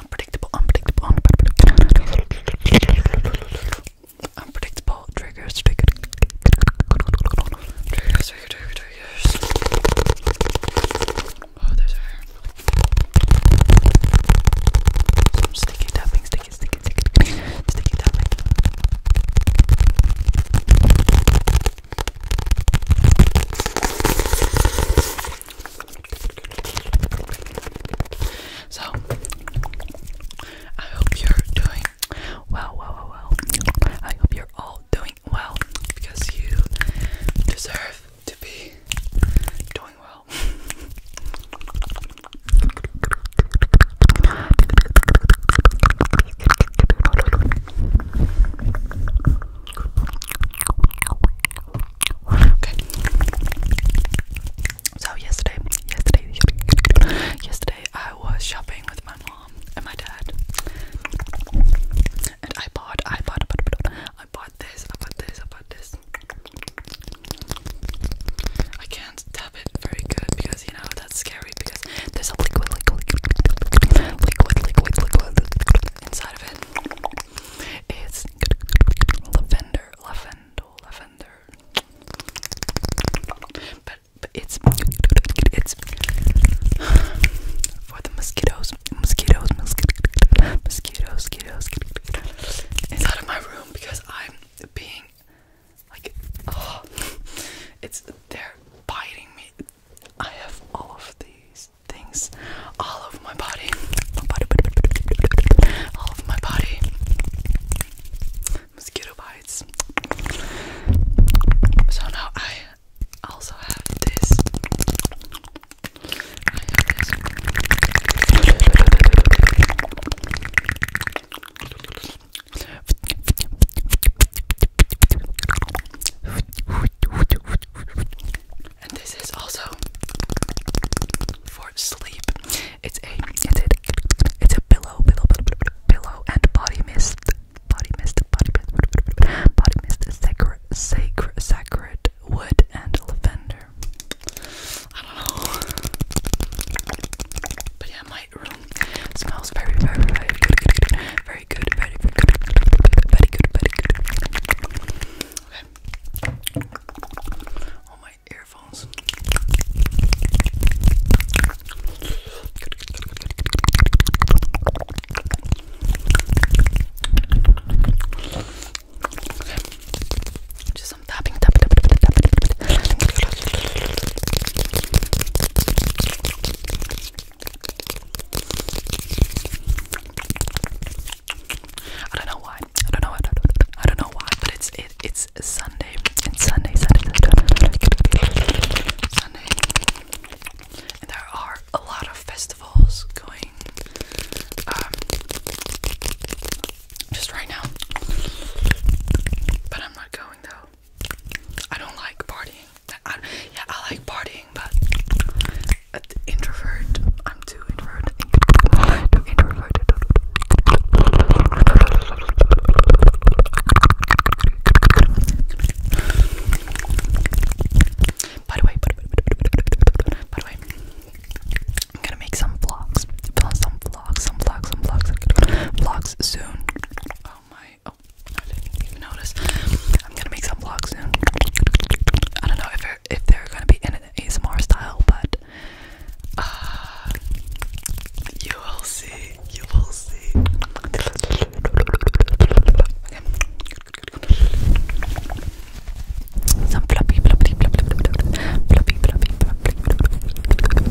unpredictable, unpredictable, unpredictable. Unpredictable triggers, trigger, triggers, trigger, trigger, triggers. Oh, there's hair. Some sticky tapping, sticky, sticky, sticky, sticky so, I hope you're doing well, well, well, well. I hope you're all doing well because you deserve to be doing well. So yesterday, yesterday, yesterday, I was shopping with my mom and my dad, and I bought, I bought, I bought this, I bought this, I bought this. I can't tap it very good because you know that's scary because there's a liquid, liquid, liquid, liquid, liquid, liquid inside of it. It's lavender, lavender, lavender. But, it's it's for the mosquitoes, mosquitoes, mosquitoes, mosquitoes, mosquitoes. It's out my room because I'm being like, oh, it's they're biting me. I have all of these things all over my body. all over my body. Mosquito bites. So now I also have this. And this is also for sleep. It's a it's a it's a pillow, pillow, pillow, pillow and body mist, body mist, body mist, body mist, sacred, sacred, sacred wood and lavender. I don't know, but yeah, my room smells very, very, very good, very very good, very, very good, very good, very good. Okay. All my earphones. Just some tapping, tapping, tapping, tapping, tapping. I don't know why. I don't know. I I don't, know why, but it's it, it's Sunday. It's Sunday, Sunday, Sunday, Sunday, and there are a lot of festivals going. Um, just right now, but I'm not going though. I don't like partying. I, yeah, I like partying, but an introvert. I'm too introverted. Too introverted. By the way, by the way, by the way, I'm gonna make some vlogs, some vlogs, some vlogs, some vlogs, vlogs soon. Oh my Oh, I didn't even notice. I'm gonna make some vlogs soon. I don't know if they're, if they're gonna be in an ASMR style, but uh, you will see. You will see. Some floppy, floppy, floppy, floppy, floppy, floppy, floppy,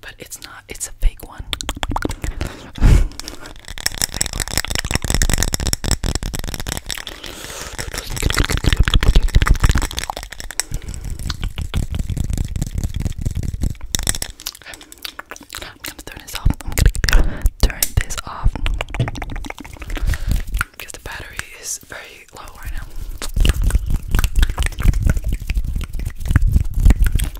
but it's not, it's a fake one. I'm gonna turn this off. I'm gonna turn this off because the battery is very low right now.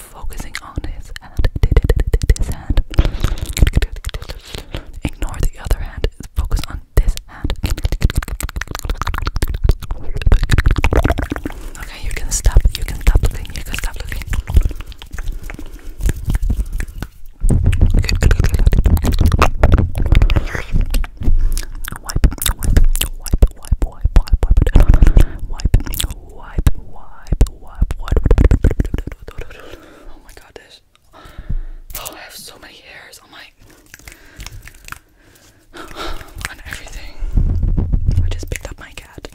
focusing on his hand. This hand. Ignore the other hand. Focus on this hand. Okay, you can stop. You can stop looking. You can stop looking. wipe, wipe, wipe, wipe, wipe, wipe, wipe, wipe, wipe, wipe, Oh my god, this. Oh, I have so many hairs on my. on everything. I just picked up my cat.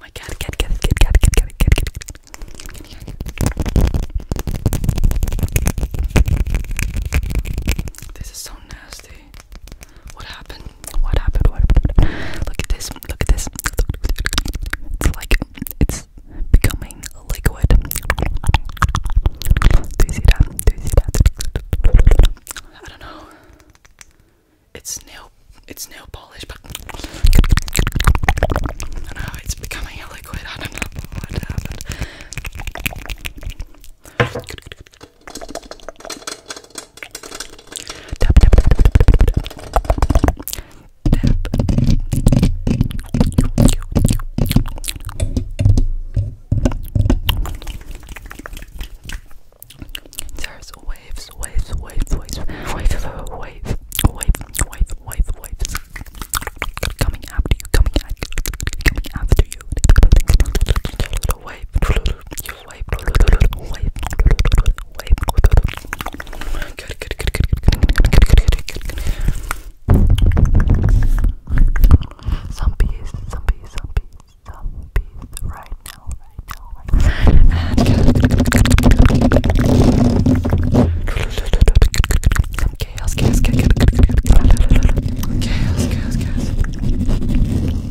My cat, cat, cat, cat, cat, cat, cat, cat, cat, cat, cat, cat. This is so nasty. What happened? What happened? What Look at this. Look at this. It's like it's becoming liquid. I don't know. It's nail. It's nail polish, but I know it's becoming liquid. I don't know what happened. Tap, tap, tap, tap, tap, tap. There's waves, waves, waves, waves, waves, waves, waves, waves, waves, waves, coming after you, coming at you, coming after you wipe, you wipe, wipe, wipe. Good, good, good, good, good, good, good. Some bees, some bees, some bees, some bees. Right now, right now, right now. And good. Chaos, chaos, chaos, chaos, chaos, chaos. Chaos, chaos, chaos.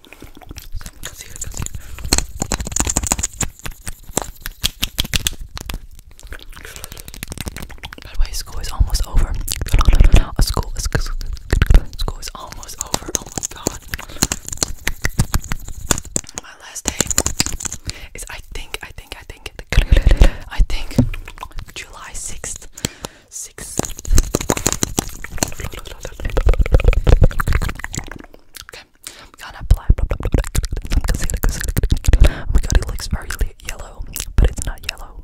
Cosita, school is almost over. school, school, school is almost over. Oh my god. My last day is I think, I think, I think, I think July 6th six. Okay, I'm gonna apply Oh my god, it looks very yellow, but it's not yellow.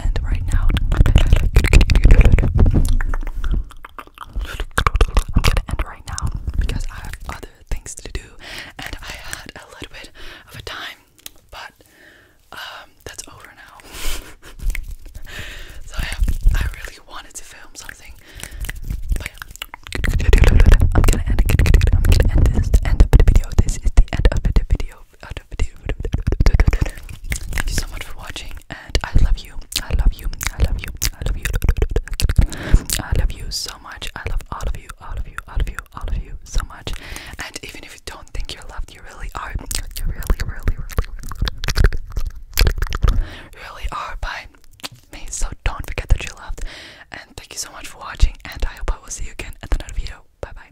have right now. I'm gonna end right now because I have other things to do and I had a little bit of a time, but um, that's over now. so I, I really wanted to film something, I'm gonna end. I'm gonna end this end of the video. This is the end of the video. Thank you so much for watching, and I love you. I love you. I love you. I love you. I love you so much. I love all of you. All of you. All of you. All of you so much. And even if you don't think you're loved, you really are. You really, really, really, really are by me. So don't forget that you're loved. And thank you so much for watching. And I hope I will see you again at another video. Bye bye.